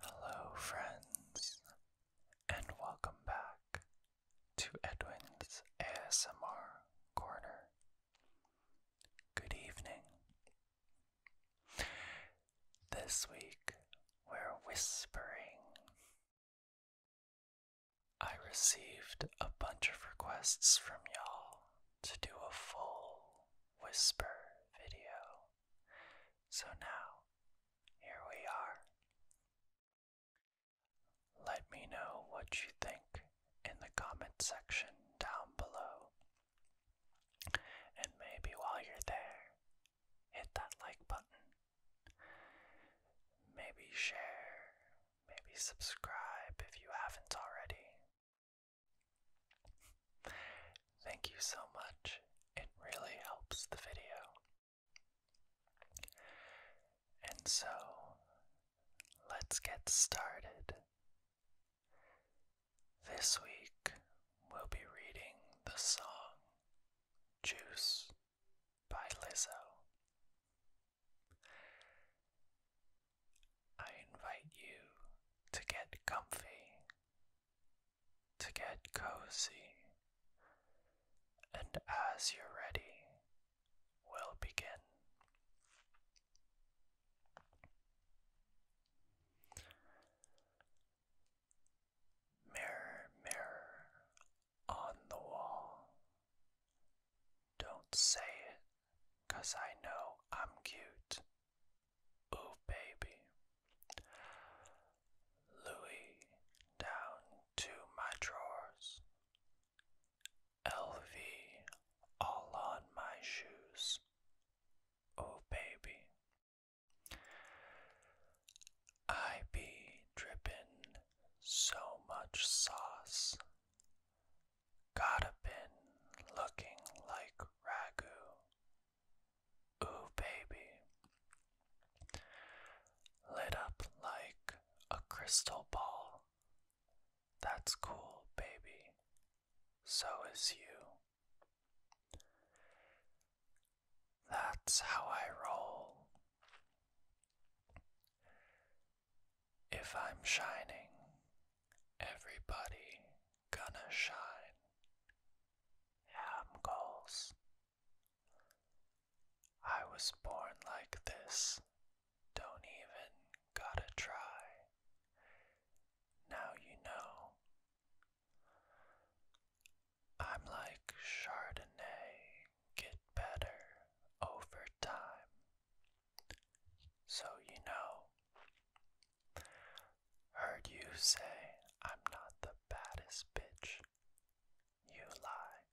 Hello, friends, and welcome back to Edwin's ASMR Corner. Good evening. This week we're whispering. I received a bunch of requests from y'all to do a full whisper video. So now, here we are. Let me know what you think in the comment section down below. And maybe while you're there, hit that like button. Maybe share, maybe subscribe if you haven't already. Thank you so much. It really helps the video. And so, let's get started. This week, we'll be reading the song Juice by Lizzo. I invite you to get comfy, to get cozy, and as you're ready, we'll begin. Mirror, mirror on the wall. Don't say it, Cause I know I'm cute. Ooh, baby. Louis down to my drawers. LV all on my shoes. Oh, baby. I be drippin' so much sauce. Gotta been looking like ragu. Ooh, baby. Lit up like a crystal ball. That's cool, baby. So is you. That's how I roll. If I'm shining, everybody gonna shine. Ham goals. I was born like this. Don't even gotta try. Now you know. I'm like Chardonnay, get better over time. So you know. Heard you say I'm not the baddest bitch. You lie.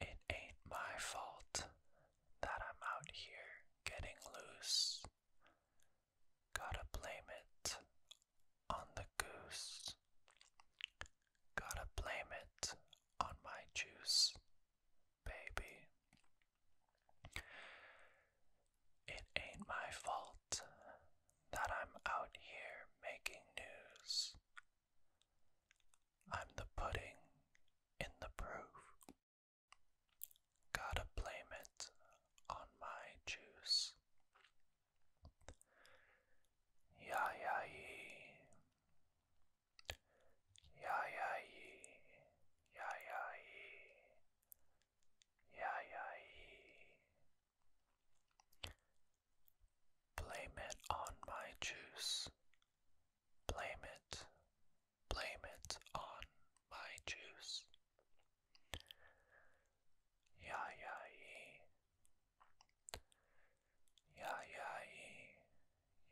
It ain't my fault that I'm out here getting loose. Gotta blame it on the goose. Gotta blame it on my juice, baby. It ain't my fault that I'm out here making news. I'm the pudding in the proof. Gotta blame it on my juice. Ya ya yee, Ya ya ye, ya ya ye, ya ya ye. Blame it on my juice. Blame it, blame it on my juice. Ya ya ye, Ya ya ye,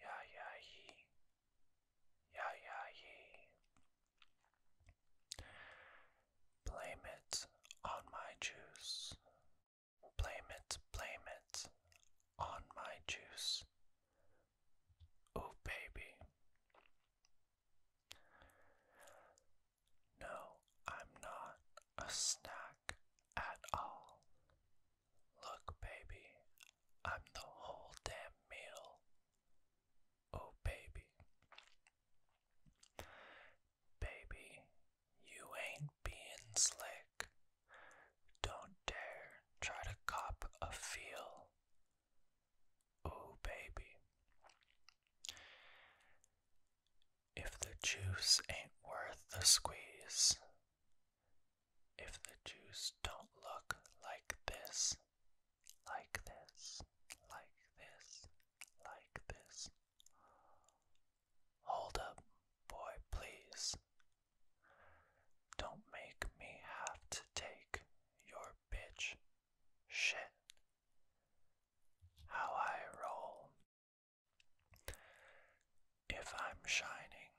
ya ya ye, ya ya ye. Blame it on my juice. Blame it, blame it on my juice. Oh, baby. No, I'm not a snack at all. Look, baby, I'm the whole damn meal. Oh, baby. Baby, you ain't being slick. Don't dare try to cop a feel. Oh, baby. If the juice ain't worth the squeeze, if the juice don't look like this, like this, like this, like this, hold up, boy, please. Don't make me have to take your bitch shit. How I roll if I'm shining,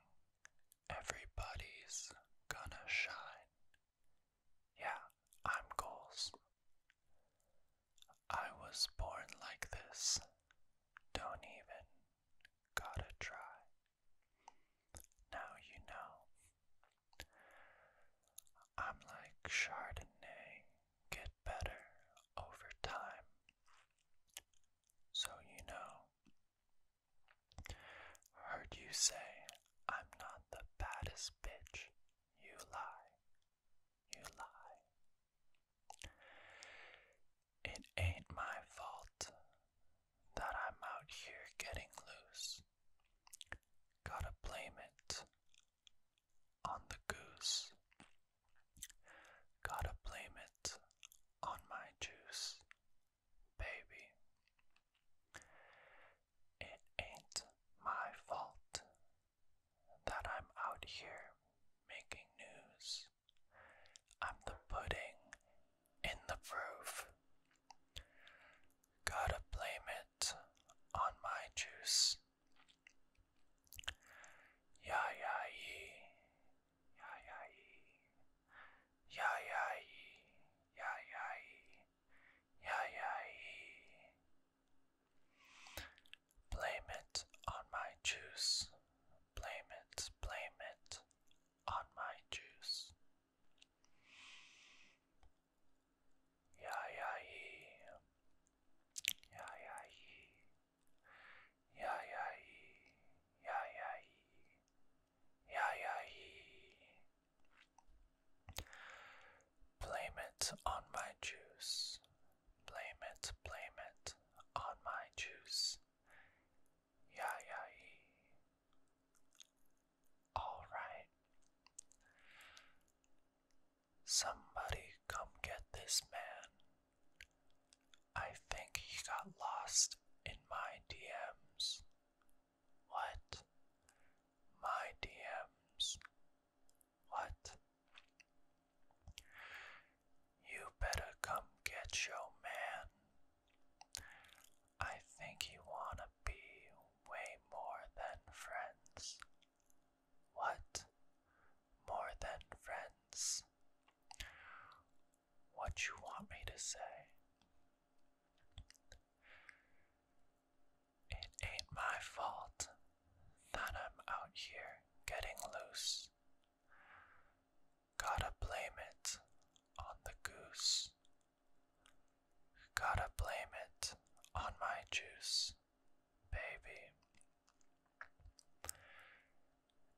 everybody's gonna shine. Yeah, I'm goals. I was born like this. Don't even gotta try. Now you know. I'm like Chardonnay get better over time. So you know. Heard you say, I'm not the baddest bitch. You lie. You lie. It ain't my fault that I'm out here getting loose. Gotta blame it on the goose. Gotta blame it on my juice, baby. It ain't my fault that I'm out here making news. I'm the pudding in the proof. Gotta blame it on my juice, Ya ya yee. Ya ya yee. Ya ya yee. Ya ya yee. Blame it on my juice. Blame it, blame it on my juice. Yeah, yeah, yee. Yeah, yeah, yee. Yeah, yeah, yee. Yeah, yeah, yee. Yeah, yeah, yee. Blame it on my juice. Blame it, blame it on my juice. Yeah, yeah, yee. All right. Somebody come get this man. I think he got lost in my DMs. What? My DMs. What? You better come get your man. I think you wanna be way more than friends. What? More than friends. What you want me to say? It ain't my fault that I'm out here getting loose. Gotta blame it on the goose. Gotta blame it on my juice baby.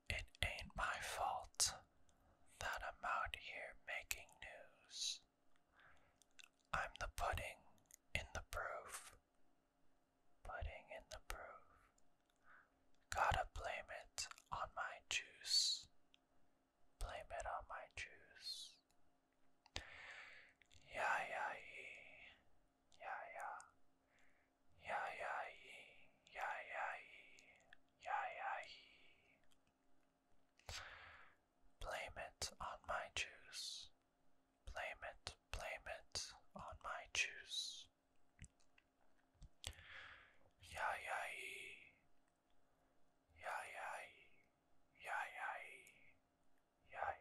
It ain't my fault that I'm out here making news. I'm the pudding in the proof. Pudding in the proof. Gotta blame it on my juice. Blame it on my juice. Ya ya yee, ya ya, ya ya yee, ya ya yee, ya ya yee. Blame it on my juice. Blame it, blame it on my juice. Ya ya yee, ya ya yee, yeah yeah yeah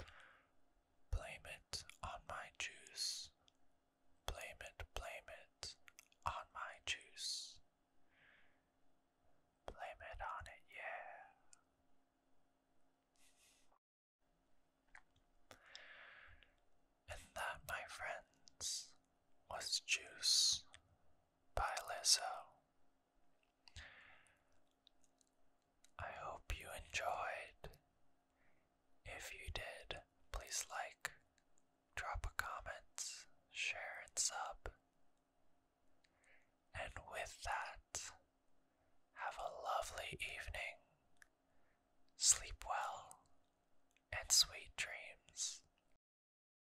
yeah, Blame it on my juice. Blame it, blame it on my juice. Blame it on it, yeah. And that, my friends, was Juice by Lizzo. I hope you enjoyed. If you did, please like, drop a comment, share, and sub. And with that, have a lovely evening. Sleep well and sweet dreams.